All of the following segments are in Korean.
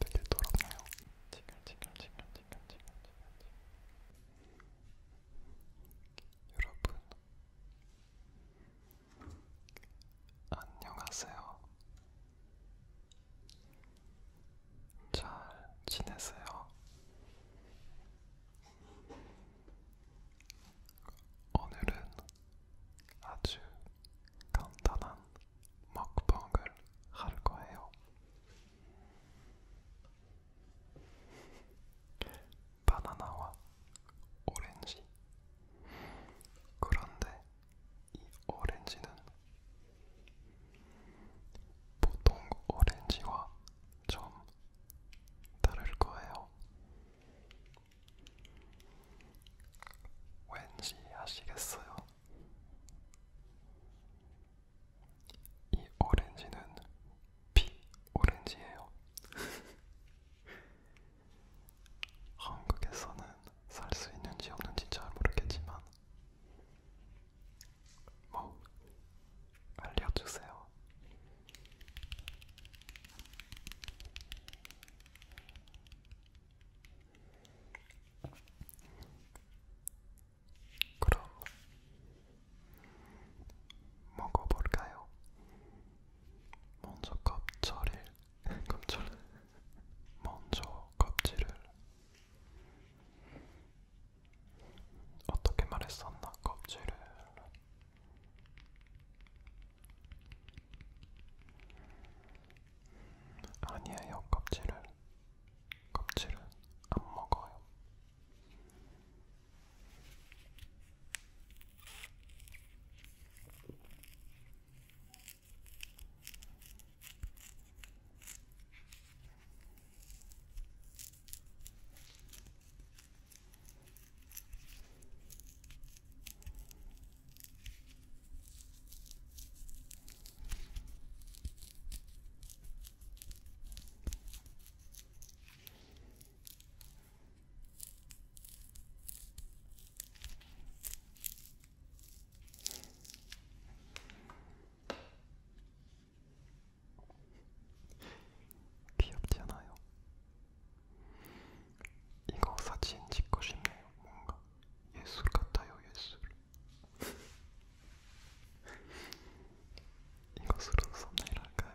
되게 더럽네요. 징글징글징글징글징글 여러분 안녕하세요. 잘 지내세요? 오늘은 아주 간단한 먹방을 할 거예요. 바나나와 오렌지. 그런데 이 오렌지는 보통 오렌지와 좀 다를 거예요. 왠지 아시겠어요? 이 오렌지는 피 오렌지예요. 한국에서는 살 수 있는지 없는지 잘 모르겠지만 뭐 알려주세요. 그럼 먹어볼까요? 먼저 껍질을 껍질을 먼저 껍질을 어떻게 말했었나 껍질을 아니에요, 껍질을. 껍질은 안 먹어요. 귀엽지 않아요? 이거 사진 찍고 싶네요. 뭔가 예술 같아요, 예술. 이것으로 썸네일 할까요?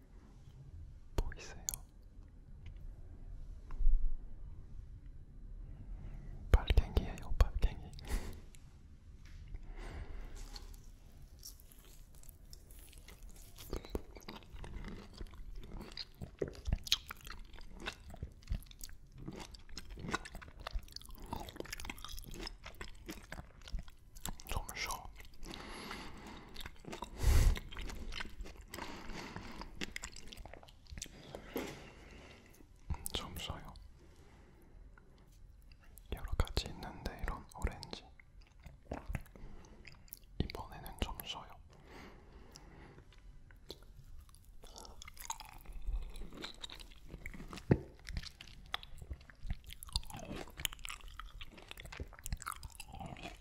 보이세요? 뭐 발갱이에요, 발갱이. 좀 쉬어. 점수요. 여러 가지 있는데 이런 오렌지. 이번에는 점수요.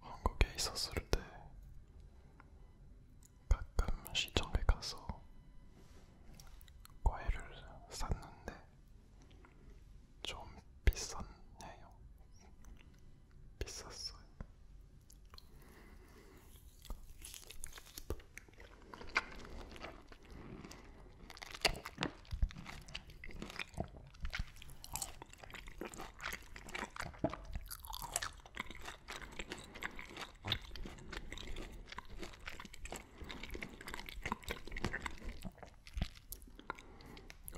한국에 있었을 때 가끔 시장에 가서 과일을 샀는데 좀 비쌌네요. 비쌌어요.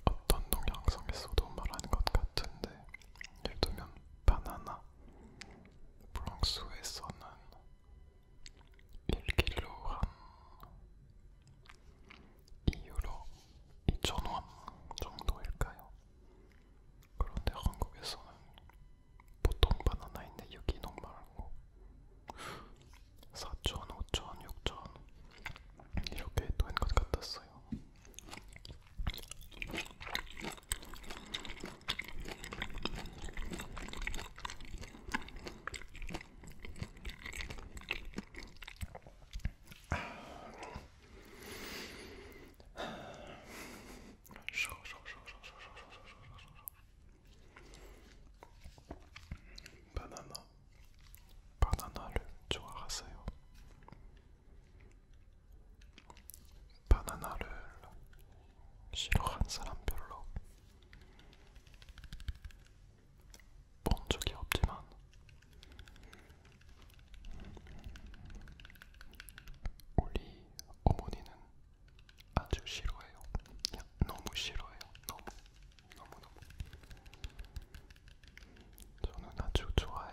어떤 동영상에서도 말하는 것 같은데 예를 들면 바나나 프랑스에서는 1kg 한 2유로 2,000원 정도일까요? 그런데 한국에서는 보통 바나나인데 유기농 말고 4,000, 5,000, 6,000 이렇게 된것 같았어요. 바나나, 바나나를 좋아하세요. 바나나를 싫어한 사람 별로. 본 적이 없지만 우리 어머니는 아주 싫어해요. 그냥 너무 싫어해요. 너무 너무 너무. 저는 아주 좋아해요.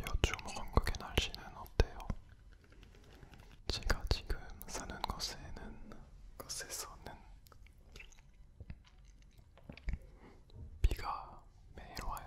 요즘 한국의 날씨는 어때요? 제가 지금 사는 곳에는 곳에서는 비가 매일 와요.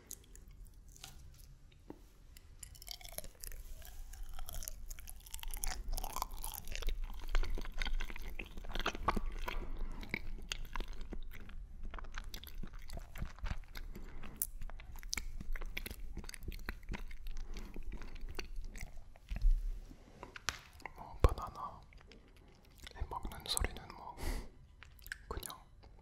뭐 바나나 먹는 소리는 뭐 그냥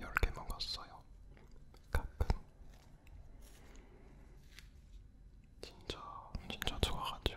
10개 먹었어요. 가끔 진짜 진짜 좋아가죠.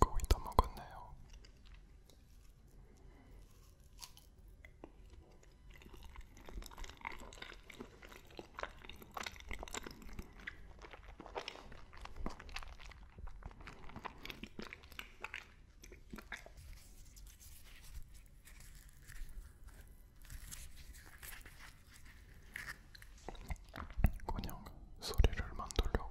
거의 다 먹었네요. 그냥 소리를 만들려고.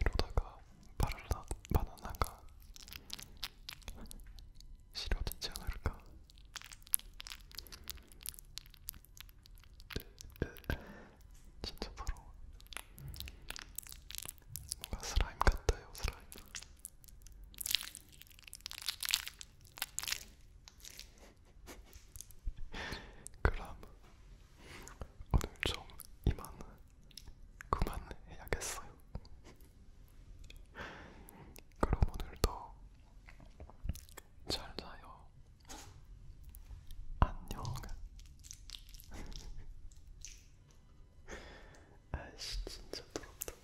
이러다가 바나나, 바나나가 시려지지 않을까? 네, 네. 진짜 바로 뭔가 슬라임 같아요, 슬라임. 그럼 오늘 좀 이만 그만해야겠어요. 그럼 오늘도 잘 자요. 안녕. 아이씨 진짜 부럽다.